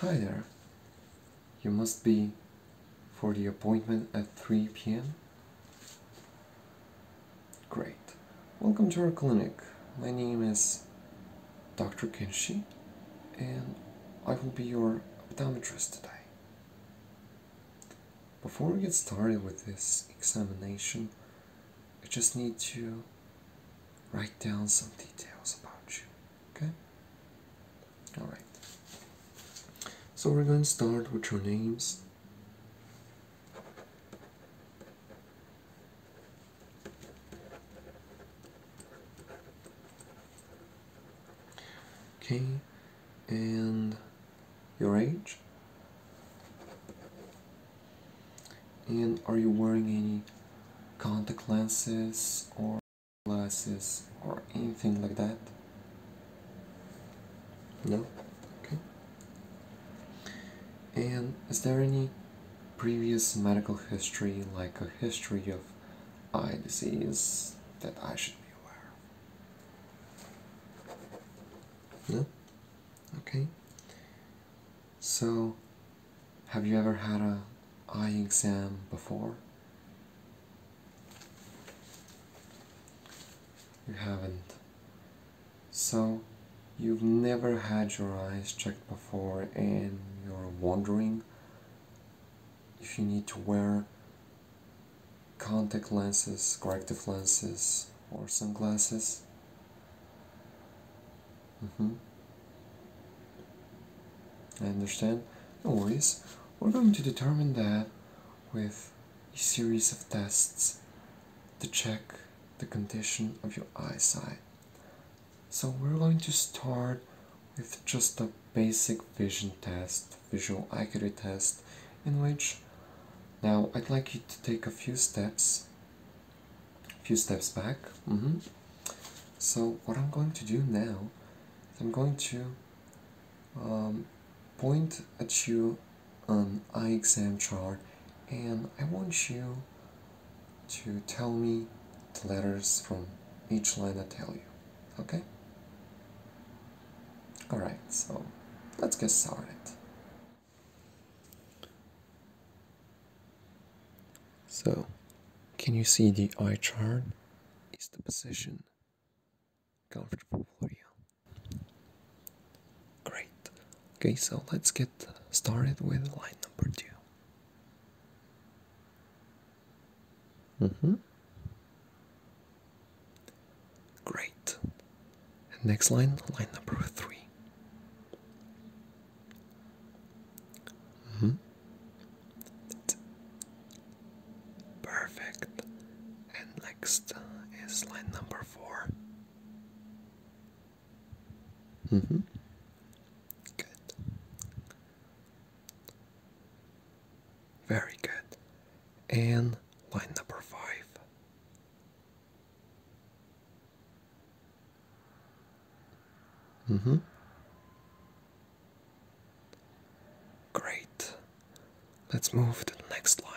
Hi there. You must be for the appointment at 3 p.m. Great. Welcome to our clinic. My name is Dr. Kenshi, and I will be your optometrist today. Before we get started with this examination, I just need to write down some details about you, okay? Alright. So we're going to start with your names. Okay, and your age? And are you wearing any contact lenses or glasses or anything like that? No? Okay. And is there any previous medical history, like a history of eye disease that I should be aware of? Okay. So, have you ever had a eye exam before? You haven't. So, you've never had your eyes checked before and you're wondering if you need to wear contact lenses, corrective lenses, or sunglasses. Mm-hmm. I understand. No worries. We're going to determine that with a series of tests to check the condition of your eyesight. So we're going to start with just a basic vision test, visual acuity test, in which now I'd like you to take a few steps, a few steps back. Mm -hmm. So what I'm going to do now I'm going to um, point at you an eye exam chart and I want you to tell me the letters from each line I tell you. Okay? Alright, so let's get started. So, can you see the eye chart is the position comfortable for you? Great. Okay, so let's get started with line number two. Mm-hmm. Great. And next line, line number three. Mm-hmm. Perfect. And next is line number four. Mm-hmm. Good. Very good. And line number five. Mm hmm. Great. Let's move to the next line.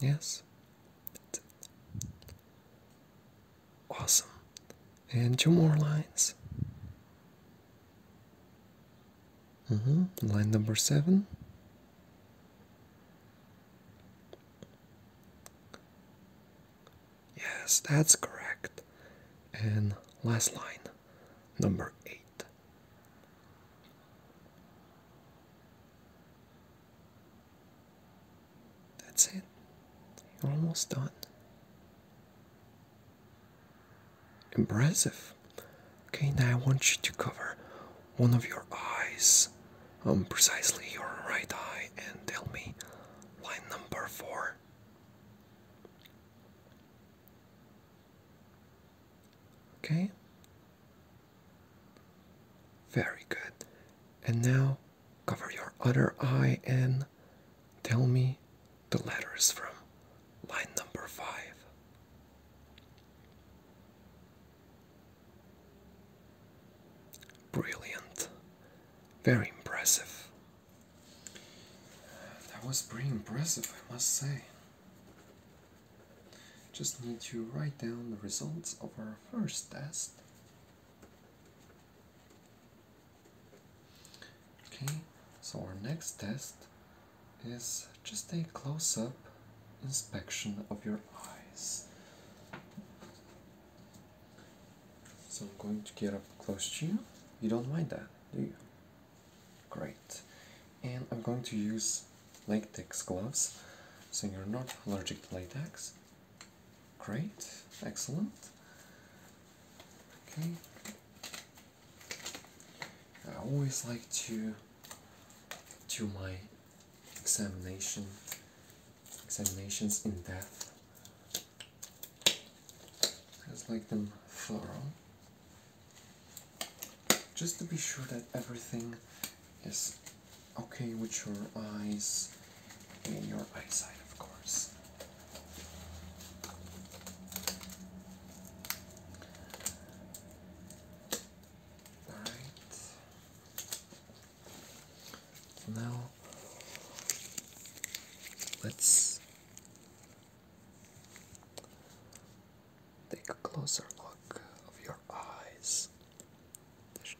Yes. Awesome. And two more lines. Mm -hmm. Line number seven. Yes, that's correct. And last line, number eight. That's it. You're almost done. Impressive. Okay, now I want you to cover one of your eyes, um, precisely your right eye, and tell me line number four. Okay, very good. And now cover your other eye and tell me the letters from line number five. Brilliant. Very impressive. That was pretty impressive, I must say. Just need to write down the results of our first test. Okay, so our next test is just a close-up inspection of your eyes. So I'm going to get up close to you. You don't mind that, do you? Great. And I'm going to use latex gloves, so you're not allergic to latex. Great, excellent. Okay. I always like to do my examination examinations in depth. Just like them thorough. Just to be sure that everything is Okay, with your eyes and your eyesight, of course. Alright. now, let's take a closer look of your eyes.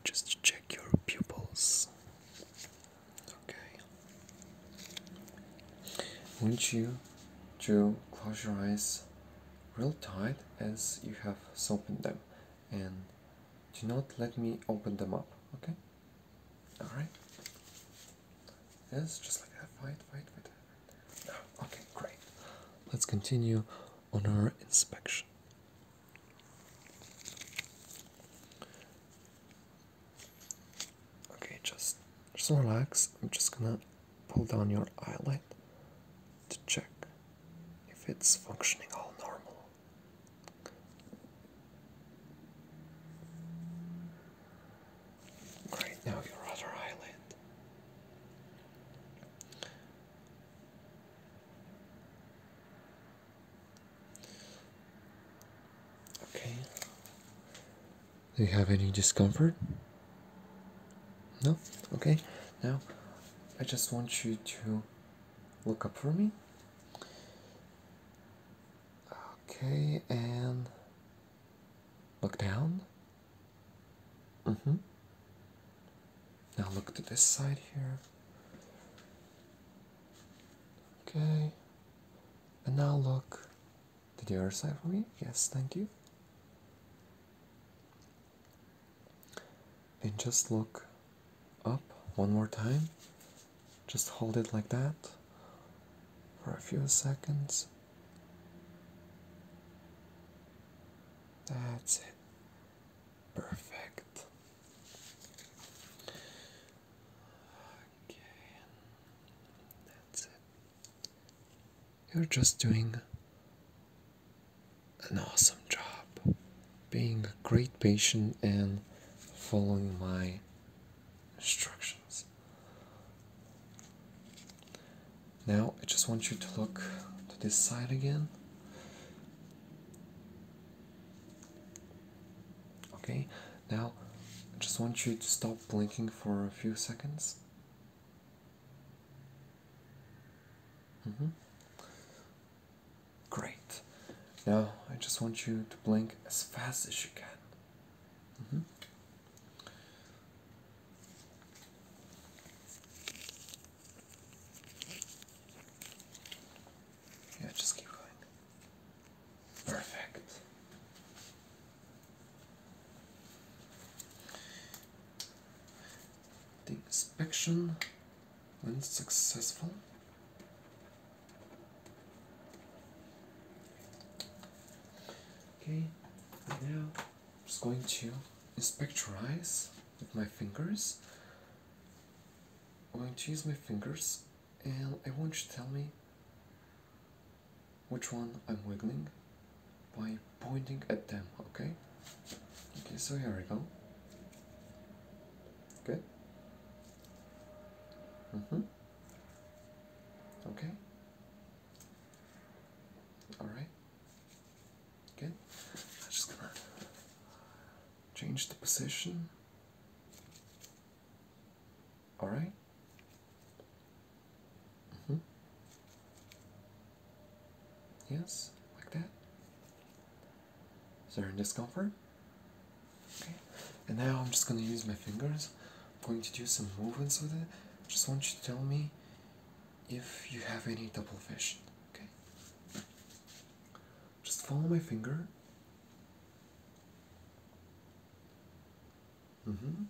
Just check your pupils. Okay. Want you to close your eyes real tight as you have softened them and do not let me open them up, okay? Alright? Yes, just like that. Fight, fight, fight. okay, great. Let's continue on our inspection. Okay, just just relax. I'm just gonna pull down your eyelid to check if it's functioning all normal. Right now, your other eyelid. Okay. Do you have any discomfort? No? Okay. Now, I just want you to look up for me. Okay, and look down. Mm hmm. Now look to this side here. Okay. And now look to the other side for me. Yes, thank you. And just look up one more time. Just hold it like that for a few seconds. That's it. Perfect. Okay, that's it. You're just doing an awesome job being a great patient and following my instructions. Now, I just want you to look to this side again. Okay, now I just want you to stop blinking for a few seconds. Mm -hmm. Great. Now I just want you to blink as fast as you can. Mm -hmm. Yeah, just keep going. Perfect. inspection went successful. Okay, now I'm just going to inspect your eyes with my fingers. I'm going to use my fingers and I want you to tell me which one I'm wiggling by pointing at them, okay? Okay, so here we go. Good. Mm-hmm. Okay. Alright. Okay, I'm just gonna change the position. All right. Mm -hmm. Yes, like that. Is there any discomfort? Okay. And now I'm just gonna use my fingers. I'm going to do some movements with it. Just want you to tell me if you have any double vision. Okay? Just follow my finger. Mm-hmm.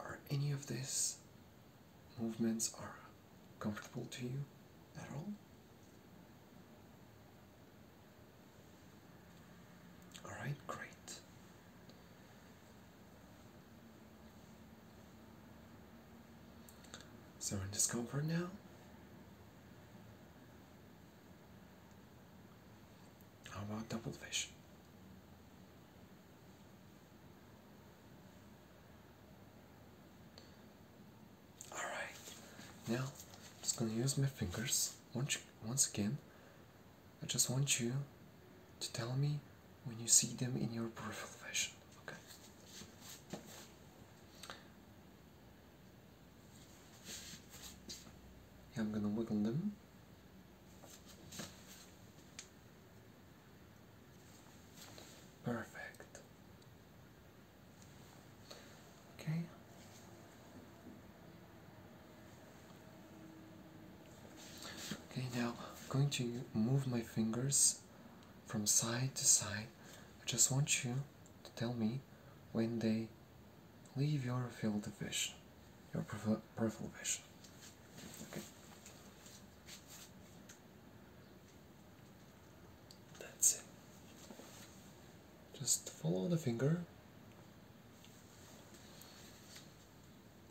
Are any of these movements are comfortable to you at all? All right, great. So in discomfort now. How about double fish? All right. Now, I'm just gonna use my fingers once once again I just want you to tell me when you see them in your peripheral fashion. Okay. Yeah, I'm gonna wiggle them. Perfect. Okay, Okay, now I'm going to move my fingers from side to side. I just want you to tell me when they leave your field of vision, your peripheral vision. Okay. That's it. Just follow the finger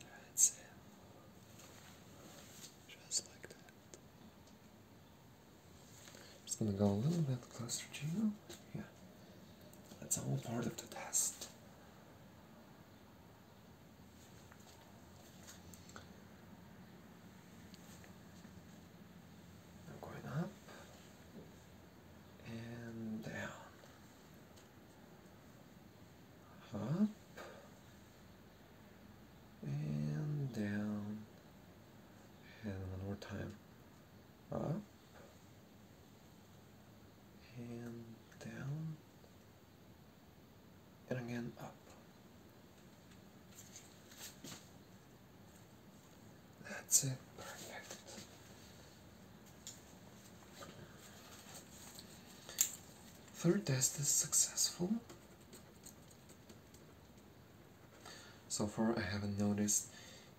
that's Just like that. Just gonna go a little bit closer to you. Yeah. That's all part of the test. I'm going up and down up and down and one more time up and down and again up that's it perfect Third test is successful. So far I haven't noticed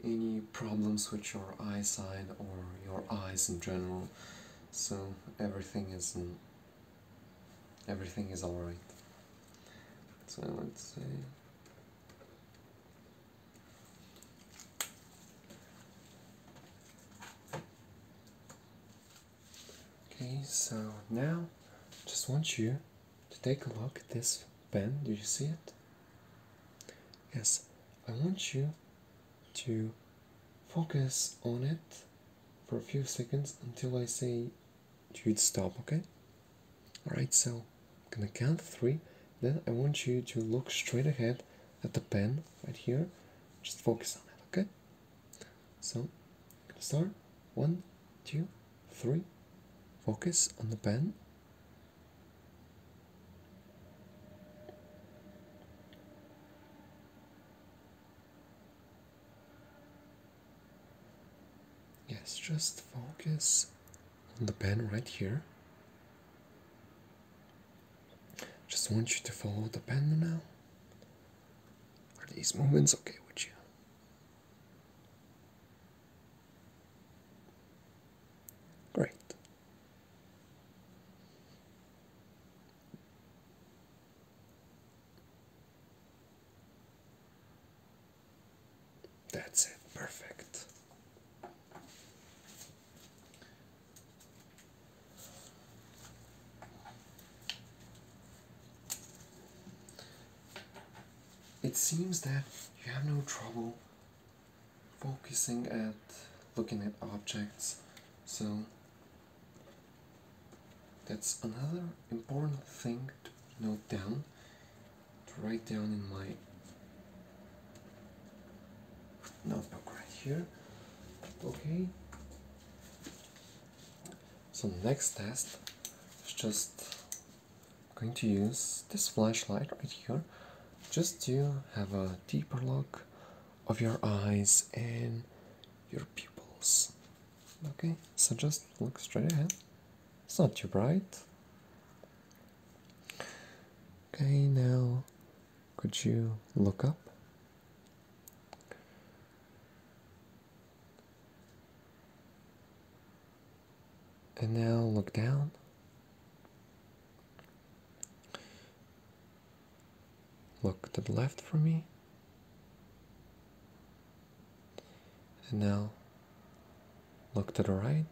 any problems with your eyesight or your eyes in general. So everything is everything is alright. So let's say. Okay, so now just want you to take a look at this pen. Do you see it? Yes, I want you to focus on it for a few seconds until I say you'd stop, okay? Alright, so I'm gonna count three, then I want you to look straight ahead at the pen right here. Just focus on it, okay? So, start. One, two, three. Focus on the pen. Yes, just focus on the pen right here. Just want you to follow the pen now. Are these movements okay with you? Great. That's it, perfect. It seems that you have no trouble focusing at looking at objects, so that's another important thing to note down, to write down in my notebook right here. Okay. So next test is just going to use this flashlight right here just to have a deeper look of your eyes and your pupils. Okay, so just look straight ahead. It's not too bright. Okay, now could you look up? And now look down. Look to the left for me. And now look to the right.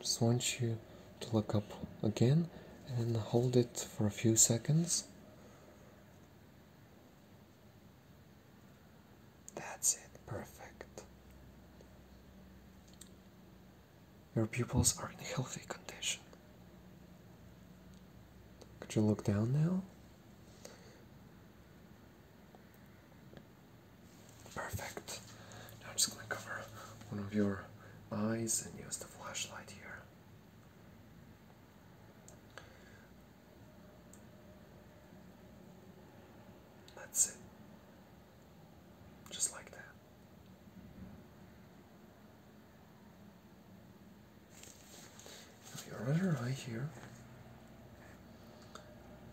Just want you to look up again and hold it for a few seconds. That's it, perfect. Your pupils are in healthy condition. Could you look down now? Perfect. Now I'm just going to cover one of your eyes and use the flashlight here. That's it. Just like that. your other eye here.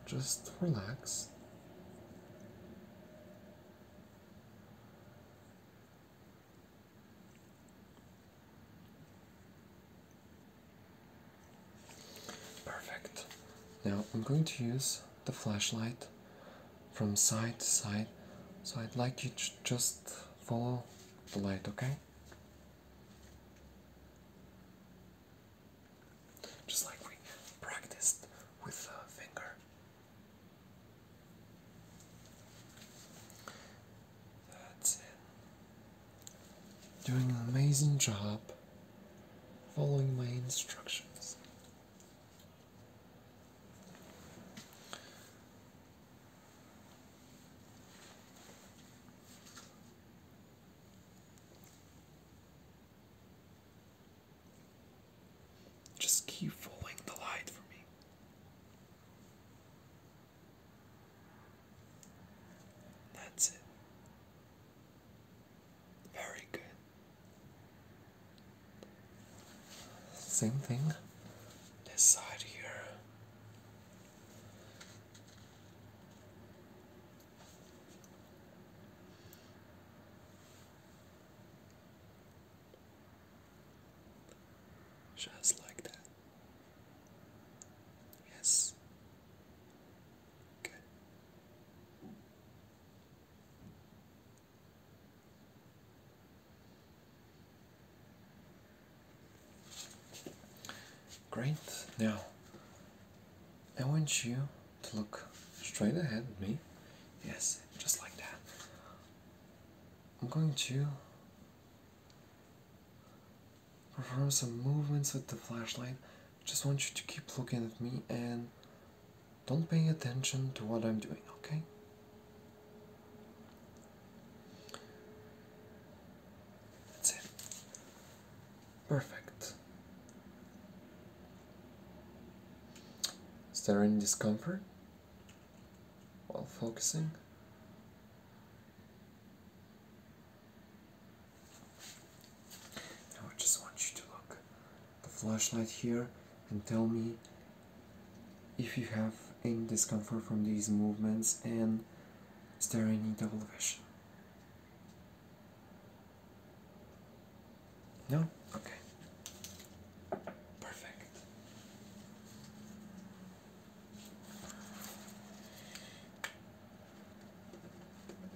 Just relax. Perfect. Now I'm going to use the flashlight from side to side, so I'd like you to just follow the light, okay? Just like we practiced with a finger. That's it. Doing an amazing job following my instructions. Just keep following the light for me. That's it. Very good. Same thing, this side here. Just like that. Yes. Good. Great. Now, I want you to look straight ahead at me. Yes, just like that. I'm going to perform some movements with the flashlight. Just want you to keep looking at me and don't pay attention to what I'm doing, okay? That's it. Perfect. Is there any discomfort while focusing? I just want you to look the flashlight here and tell me if you have any discomfort from these movements and is there any double vision? No? Okay. Perfect.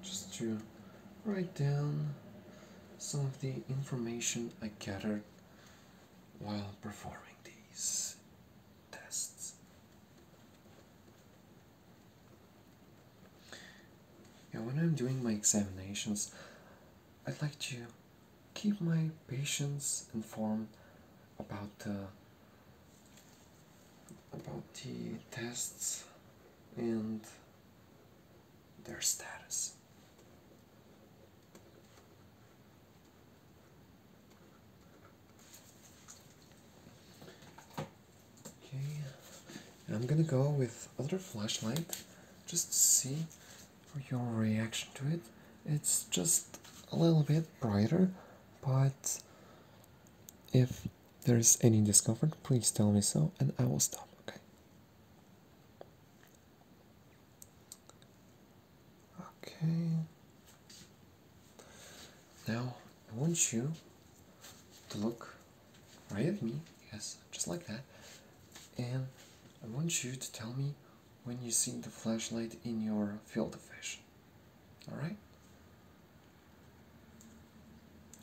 Just to write down some of the information I gathered while performing these tests. Yeah, when I'm doing my examinations, I'd like to keep my patients informed about the about the tests and their status. Okay, I'm gonna go with other flashlight just see for your reaction to it. It's just a little bit brighter, but if there's any discomfort, please tell me so and I will stop, okay? Okay. Now, I want you to look right me, yes, just like that. And I want you to tell me when you see the flashlight in your field of vision. Alright?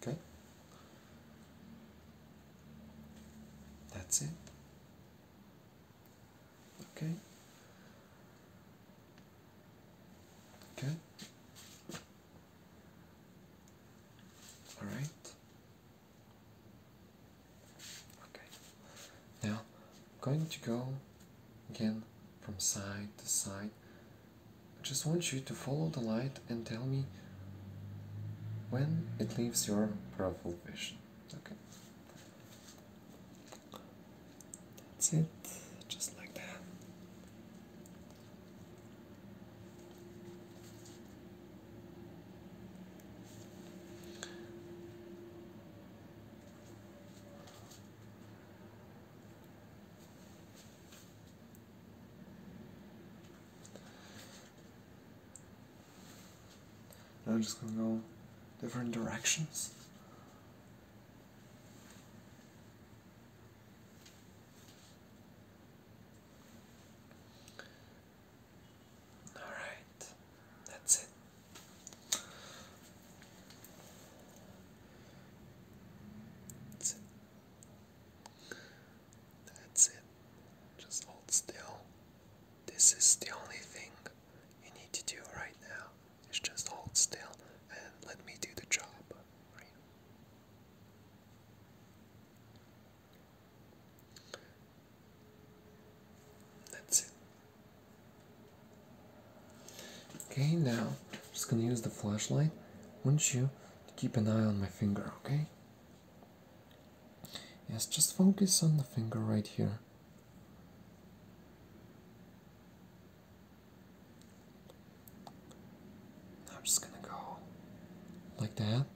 Okay? That's it. Okay? Okay? All right. Okay. Now I'm going to go again from side to side. I just want you to follow the light and tell me when it leaves your peripheral vision. Okay. That's it. Just like that. Now I'm just going to go different directions. Alright, that's it. That's it. That's it. Just hold still. This is the only thing you need to do right now. Is just hold still and let me do the job. Right? That's it. Okay, now I'm just gonna use the flashlight. Won't you keep an eye on my finger, okay? Yes, just focus on the finger right here. I'm just gonna go like that.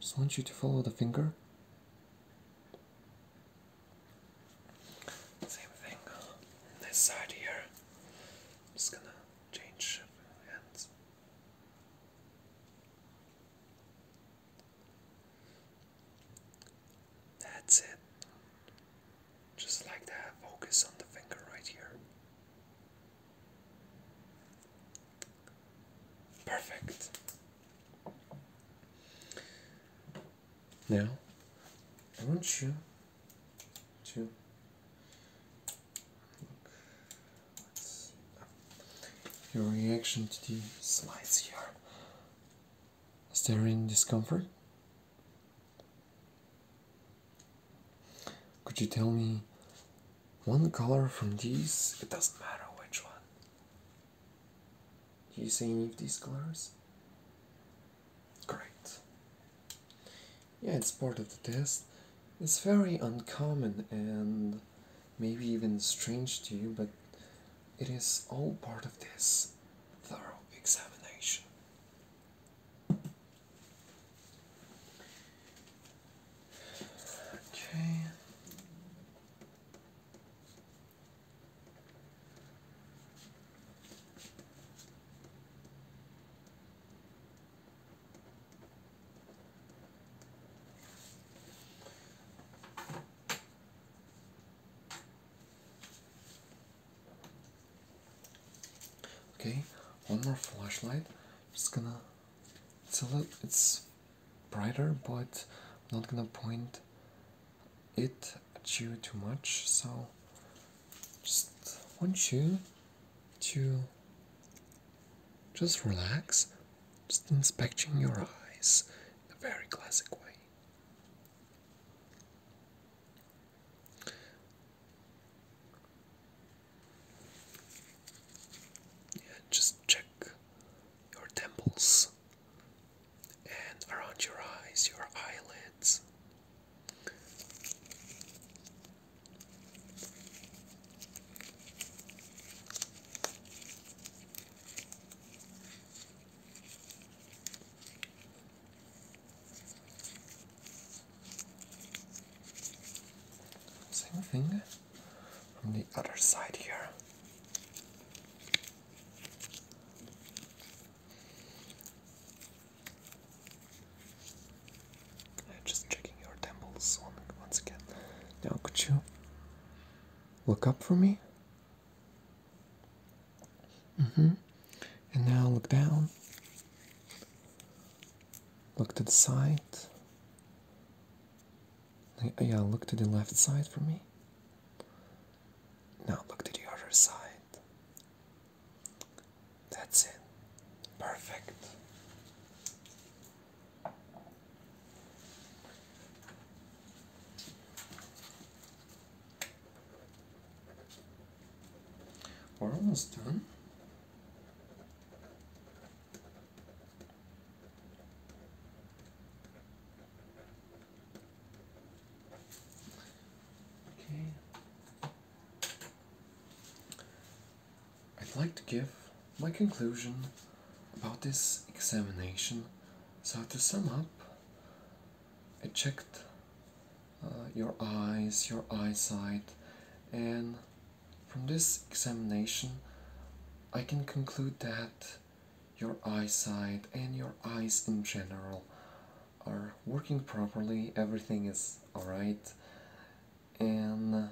Just want you to follow the finger. Same thing on this side here. just gonna change hands. That's it. Just like that, focus on the finger right here. Perfect. Now, I want you to your reaction to the slides here. Is there any discomfort? Could you tell me one color from these? It doesn't matter which one. Do you see any of these colors? Great. Yeah, it's part of the test. It's very uncommon and maybe even strange to you, but it is all part of this thorough examination. Okay. Okay, one more flashlight. Just gonna it's a little it's brighter but I'm not gonna point it at you too much so just want you to just relax just inspecting your eyes in a very classic way yeah, just check your temples and around your eyes, your eyelids. Same thing from the other side here. Just checking your temples once again. Now, could you look up for me? Mm hmm. And now look down. Look to the side. Yeah, look to the left side for me. Now look to the other side. That's it. Perfect. We're almost done. Okay. I'd like to give my conclusion about this examination. So to sum up, I checked uh, your eyes, your eyesight, and from this examination, I can conclude that your eyesight and your eyes in general are working properly, everything is alright, and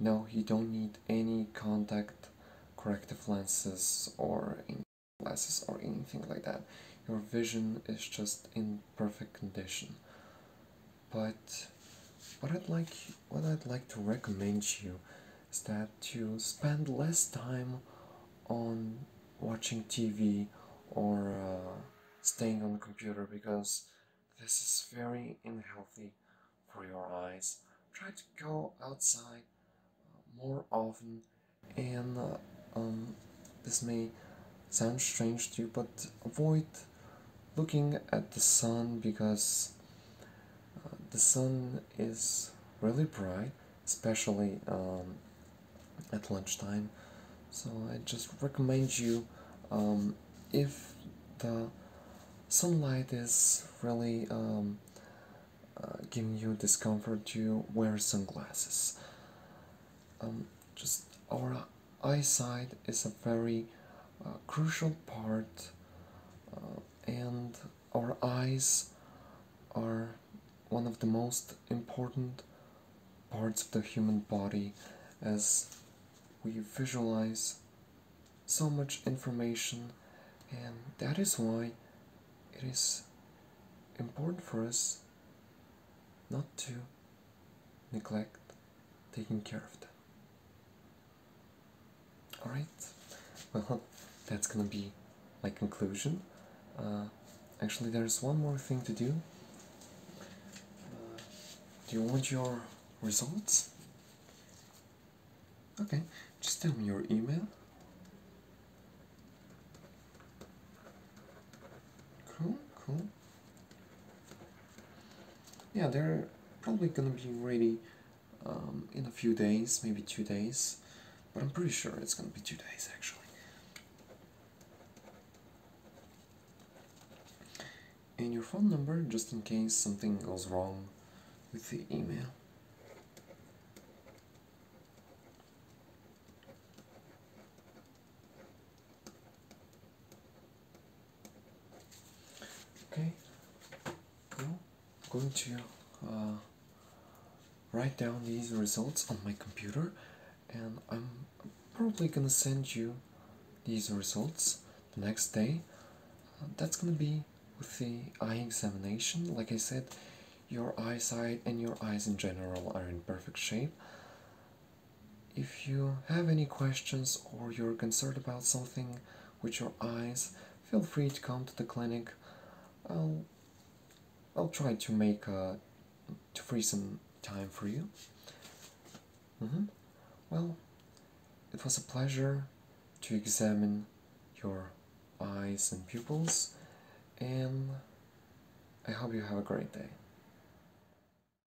no, you don't need any contact corrective lenses or glasses or anything like that. Your vision is just in perfect condition but what I'd like what I'd like to recommend you is that you spend less time on watching TV or uh, staying on the computer because this is very unhealthy for your eyes. Try to go outside uh, more often and uh, um, this may sound strange to you but avoid looking at the sun because uh, the sun is really bright, especially um, at lunchtime. So I just recommend you um, if the sunlight is really um, uh, giving you discomfort, to wear sunglasses. just our eyesight is a very uh, crucial part, uh, and our eyes are one of the most important parts of the human body as we visualize so much information, and that is why it is important for us not to neglect taking care of them. Alright, well, that's gonna be my conclusion. Uh, actually, there's one more thing to do. Uh, do you want your results? Okay, just tell me your email. Cool, cool yeah, they're probably gonna be ready um, in a few days, maybe two days, but I'm pretty sure it's gonna be two days actually. And your phone number just in case something goes wrong with the email. Okay, now I'm going to uh, write down these results on my computer, and I'm probably gonna send you these results next day. Uh, that's gonna be with the eye examination. Like I said, your eyesight and your eyes in general are in perfect shape. If you have any questions or you're concerned about something with your eyes, feel free to come to the clinic. I'll I'll try to make uh, to free some time for you. Mm -hmm. Well, it was a pleasure to examine your eyes and pupils, and I hope you have a great day.